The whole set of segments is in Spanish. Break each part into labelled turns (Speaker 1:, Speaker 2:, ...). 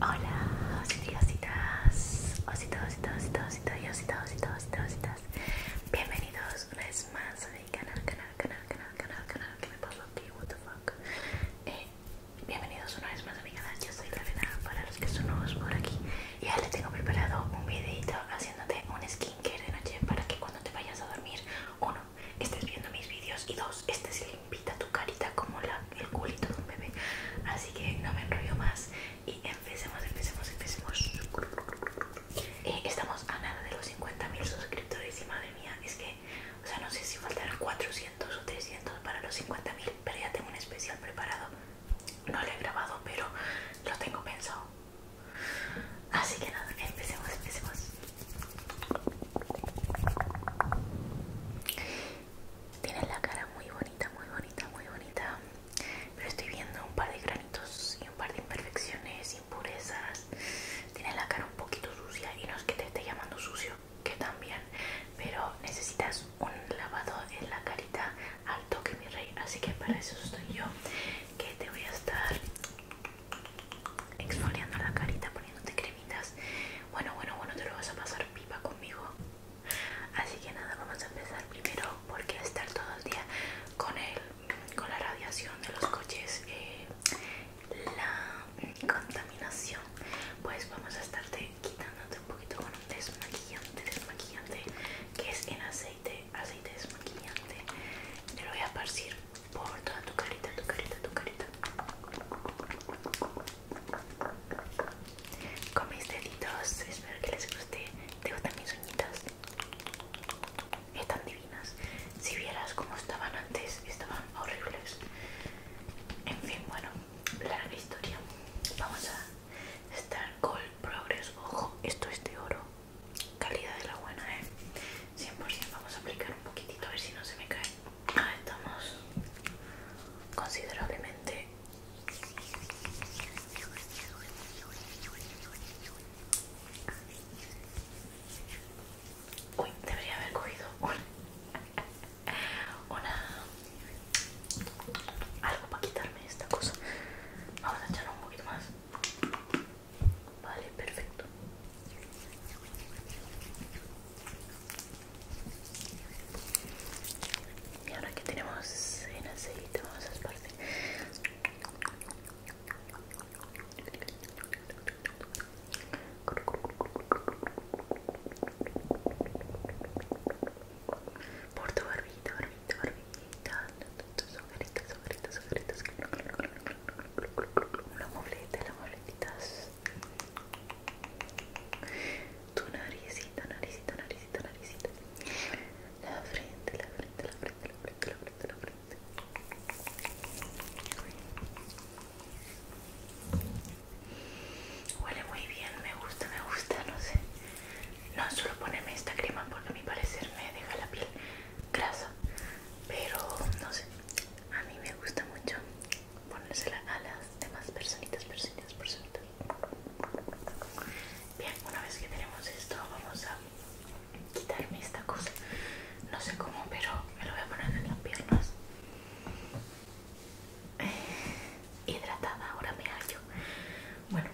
Speaker 1: Hola, ositas, ositositos, ositositos, ositas, ositositos, ositas, Bienvenidos una vez más a mi canal, canal, canal, canal, canal, canal, que me pasó aquí, what the fuck. Eh, bienvenidos una vez más a mi canal, yo soy Lorena, para los que son nuevos por aquí. Ya les tengo preparado un videito haciéndote un skincare de noche para que cuando te vayas a dormir, uno estés viendo mis vídeos y dos, este invita a tu carita como el culito de un bebé. Así que no me enrollo más y empecemos, empecemos, empecemos. Eh, estamos a nada de los 50.000 suscriptores y madre mía, es que, o sea, no sé si faltarán 400 o 300 para los 50.000, pero ya tengo un especial preparado. No lo he grabado, pero lo tengo pensado. Así que nada, empecemos, empecemos. Tienes la cara muy bonita, muy bonita, muy bonita. Pero estoy viendo un par de granitos y un par de imperfecciones, impurezas. Tiene la cara un poquito sucia y no es que te esté llamando sucio, que también. Pero necesitas un lavado en la carita al toque, mi rey. Así que para eso estoy yo, que te voy a estar exfoliando la carita, poniéndote cremitas. Bueno, bueno, bueno, te lo vas a pasar pipa conmigo. Así que nada, vamos a empezar primero porque estar todo el día con el, con la radiación de los coches, eh, la contaminación, pues vamos a estarte quitándote un poquito con un desmaquillante, desmaquillante que es en aceite aceite desmaquillante te lo voy a esparcir por toda tu carita, tu carita, tu carita con mis deditos, espero que les guste ¿te gustan mis están divinas si vieras cómo estaban antes, estaban horribles en fin, bueno, larga historia vamos a estar con Progress ojo, esto es de oro calidad de la buena, ¿eh? 100%. Vamos a aplicar un poquitito a ver si no se me cae. Ah, estamos considerablemente Uy, debería haber cogido una, una algo para quitarme esta cosa. Vamos a echarlo un poquito más. Vale, perfecto. Y ahora que tenemos en aceite, vamos a esparcir. Por tu barbita, barbita, barbita tus Una moleta, la moletitas. Tu naricita, naricita, naricita, naricita. La frente, la frente, la frente, la frente, la frente, la frente. Huele muy bien, me gusta, me gusta, no sé. No, solo ponerme esta crema porque a mi parecer me deja la piel grasa pero no sé a mí me gusta mucho ponérsela a las demás personitas personitas personitas bien una vez que tenemos esto vamos a quitarme esta cosa no sé cómo pero me lo voy a poner en las piernas eh, hidratada ahora me hallo bueno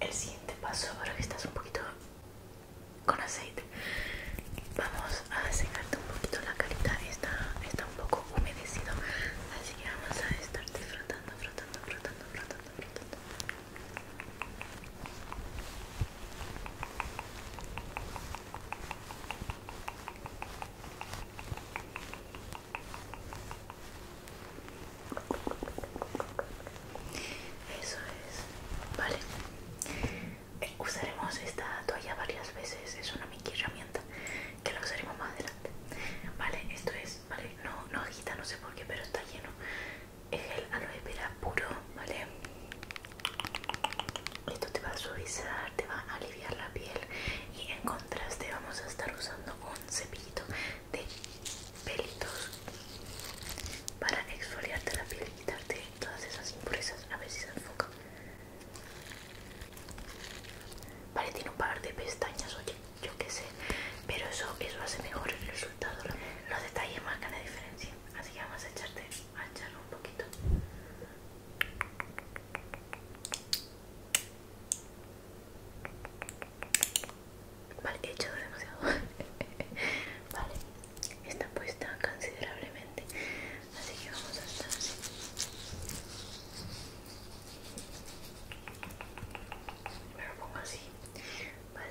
Speaker 1: el siguiente paso, ahora que estás un poquito con aceite, vamos a secarte un poquito la carita. Está, está un poco humedecido, así que vamos a estarte frotando, frotando, frotando, frotando, frotando. Eso es, vale. usaremos esta toalla varias veces, es una mini herramienta que la usaremos más adelante. Vale, esto es, vale, no, no agita, no sé por qué, pero está lleno. Es el aloe vera puro, vale. Esto te va a suavizar, te va a aliviar la piel y en contraste vamos a estar usando un cepillito de pelitos para exfoliarte la piel y quitarte todas esas impurezas. A ver si se enfoca. Vale, tiene un par de pestañas, oye, yo qué sé. Pero eso, eso hace mejor el resultado. Los detalles marcan la diferencia. Así que vamos a echarte a echar un poquito. Vale, he demasiado. vale, está puesta considerablemente. Así que vamos a así. Me lo así. Va a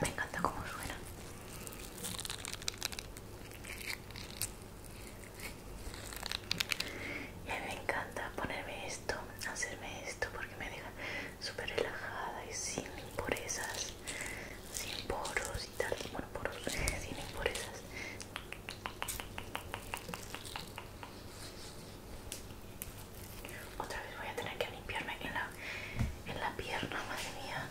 Speaker 1: me encanta cómo suena. Y a mí me encanta ponerme esto, hacerme esto, porque me deja súper relajada y sin impurezas sin poros y tal, bueno poros, sin eh, impurezas otra vez voy a tener que limpiarme en la, pierna, madre mía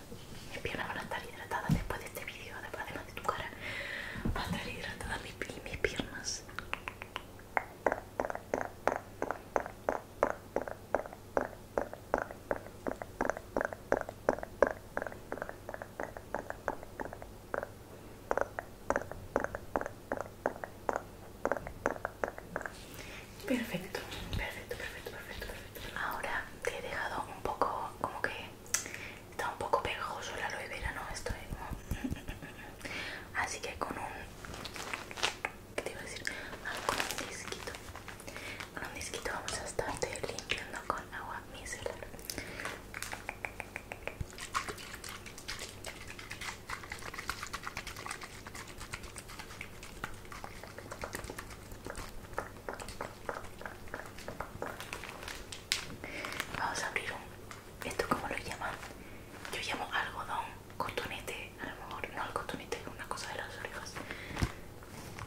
Speaker 1: mis piernas van a estar hidratadas después de este video, además de tu cara van a estar hidratadas y mis piernas Perfecto, perfecto, perfecto, perfecto, perfecto. Ahora te he dejado un poco, como que está un poco pegajoso la aloe vera, ¿no? Estoy como... Así que con un... ¿Qué te iba a decir? Ah, con un disquito. Con un disquito vamos a estarte con agua micelar Vamos a abrir un... ¿Esto cómo lo llaman? Yo llamo algodón, cotonete, a lo mejor no el cotonete, una cosa de las orejas.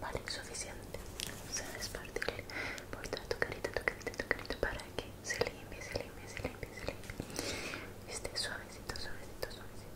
Speaker 1: Vale, suficiente. Se a despartirle por toda tu carita, tu carita, tu carita para que se limpie, se limpie, se limpie, se limpie. Esté suavecito, suavecito, suavecito.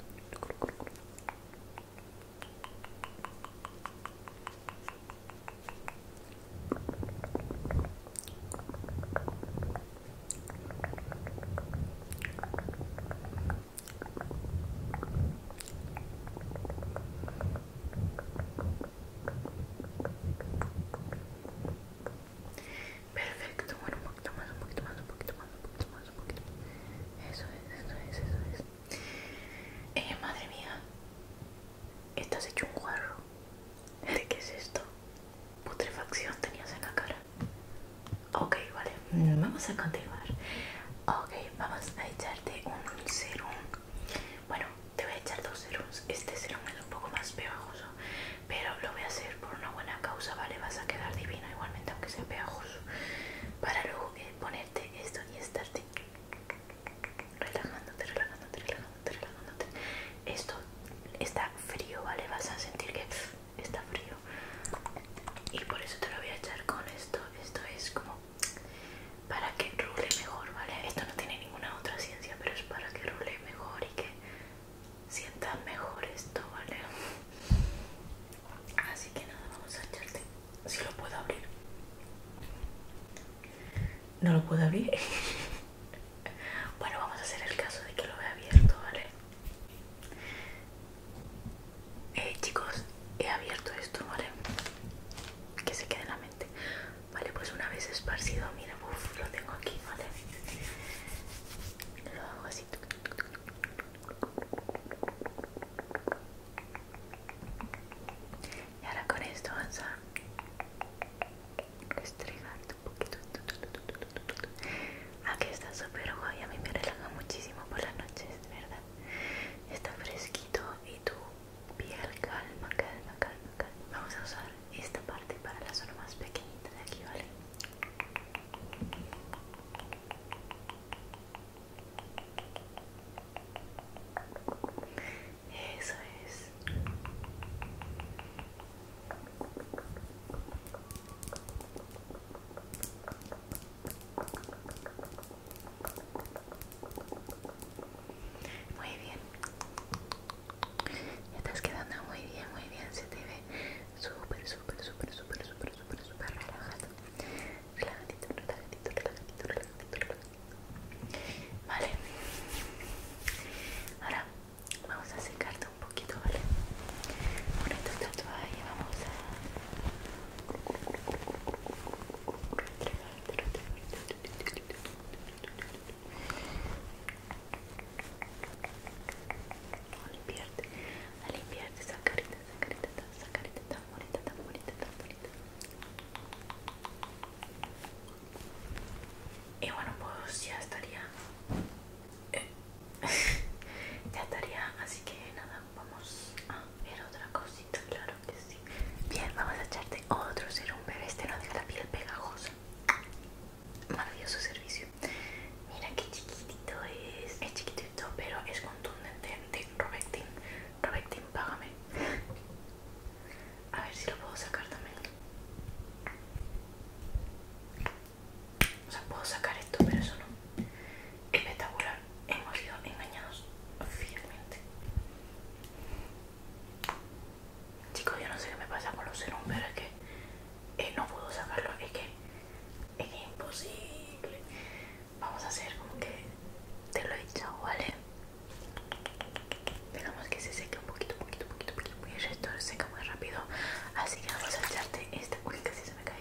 Speaker 1: Perfecto, bueno, un poquito más, un poquito más, un poquito más, un poquito más, un poquito más. Eso es, eso es, eso es. Eh, madre mía, estás hecho un guarro. ¿De qué es esto? Putrefacción tenías en la cara. Ok, vale, vamos a continuar. Ok, vamos a echarte un serum. Bueno, te voy a echar dos serums. Este serum es un poco más pegajoso, pero lo voy a hacer por una buena causa, ¿vale? Vas a quedar divino, igualmente, aunque sea pegajoso. Para luego eh, ponerte esto y estarte relajándote, relajándote, relajándote, relajándote. Esto está frío, ¿vale? Vas a sentir que está frío y por eso te lo voy a echar con esto esto es como para que rule mejor vale esto no tiene ninguna otra ciencia pero es para que rule mejor y que sientas mejor esto vale así que nada vamos a echarte si lo puedo abrir no lo puedo abrir bueno vamos a hacer el caso de que lo vea abierto vale eh, chicos, he abierto esto, ¿vale? Que se quede en la mente. Vale, pues una vez esparcido, mira, lo tengo aquí, ¿vale? Lo hago así. Y ahora con esto vamos a un poquito. Aquí ah, está súper guay, a mí me relaja muchísimo por las noches, ¿verdad? Está fresquito y tu piel calma, calma, calma, Vamos a usar esta parte para la zona más pequeñita de aquí, ¿vale? Eso es. Muy bien. Ya te Estás quedando muy bien, muy bien. Se te ve súper, súper, súper, súper, súper, súper, súper relajado. Relajadito, relajadito, relajadito, relajadito, relajadito. Vale. Ahora vamos a secar tu un poquito, ¿vale? bueno vamos a sacarita limpiarte, limpiarte bonita, bonita, tan bonita. Y bueno, pues ya estaría. ya estaría, así que nada, vamos a ver otra cosita, claro que sí. Bien, vamos a echarte otro serum, bebé, este no deja la piel pegajosa. Maravilloso servicio. Mira qué chiquitito es. Es chiquitito, pero es contundente. De Robectin. Robectin, págame. A ver si lo puedo sacar también. O sea, puedo sacar esto, pero eso no. Espectacular. Hemos sido engañados fielmente. Chicos, yo no sé qué me pasa con los serums, pero es que eh, no puedo sacarlo. Es que es imposible. Vamos a hacer como que te lo he dicho, ¿vale? Dejamos que se seque un poquito, poquito, poquito, poquito muy esto se seca muy rápido así que vamos a echarte esta uy casi se me cae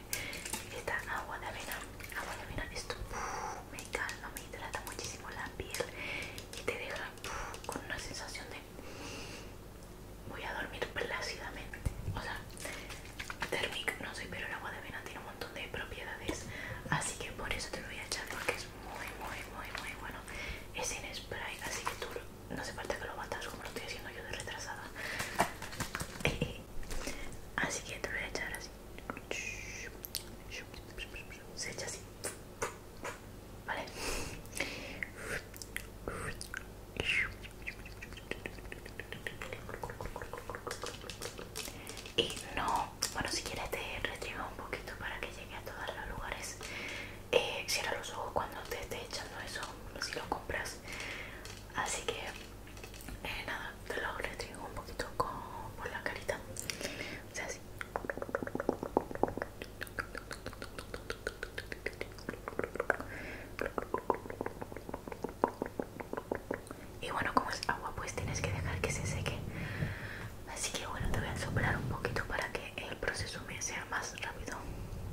Speaker 1: esta agua de avena agua de avena esto me calma me hidrata muchísimo la piel y te deja con una sensación de voy a dormir plácidamente o sea thermic no sé pero el agua de avena tiene un montón de propiedades así que por eso te lo voy a echar porque es muy muy muy muy bueno es en spray así que tú no hace falta que lo matas como lo estoy haciendo yo de retrasada. Así que te voy a echar así. Se echa así. Vale. Y no, bueno, si quieres te restrigo un poquito para que llegue a todos los lugares eh, cierra los ojos cuando te esté echando eso si lo compras así que eh, nada te lo retiro un poquito por la carita y bueno como es agua pues tienes que dejar que se seque así que bueno te voy a soplar un poquito para que el proceso me sea más rápido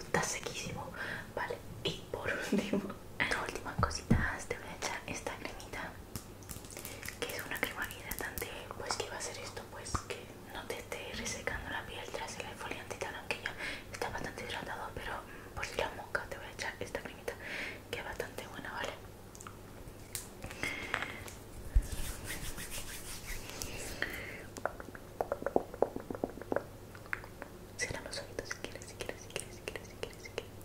Speaker 1: Está sequísimo. Vale, y por último, las últimas cositas, te voy a echar esta cremita. Que es una crema hidratante, pues que va a hacer esto, pues que no te esté resecando la piel tras el exfoliante aunque ya Está bastante hidratado, pero mm, por si la mosca te voy a echar esta cremita, que es bastante buena, ¿vale? Cierra los si quieres, si quieres, si quieres, si quieres, si quieres, si quieres.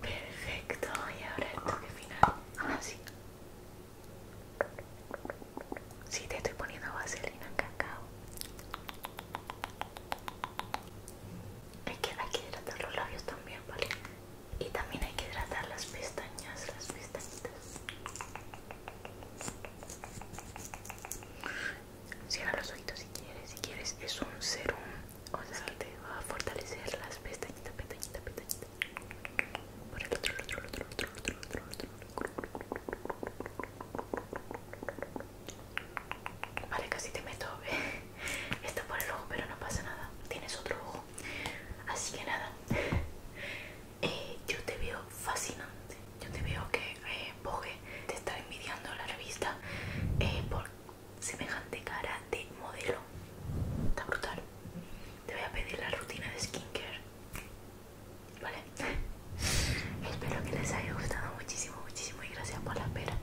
Speaker 1: Perfecto, y ahora el final. Ah, si Sí, te estoy poniendo vaselina cacao. Hay que, hidratar los labios también, ¿vale? Y también hay que hidratar las pestañas, las pestañitas. Cierra los ojitos si quieres, si quieres es un serum, o sea te va a fortalecer las pestañitas, pestañitas, pestañitas. el otro, el otro, el otro. Vale, casi te meto eh. esto por el ojo, pero no pasa nada. Tienes otro ojo. Así que nada, eh, yo te veo fascinante. Yo te veo que eh, te está envidiando la revista eh, por semejante cara de modelo. Está brutal. Te voy a pedir la rutina de skincare. Vale. Espero que les haya gustado muchísimo, muchísimo y gracias por la espera.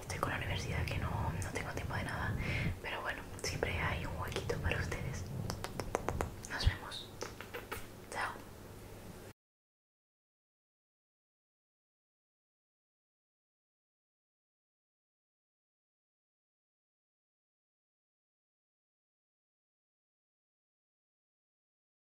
Speaker 1: Estoy con la universidad que no, no tengo tiempo de nada, pero bueno, siempre hay un huequito para ustedes. Nos vemos. Chao.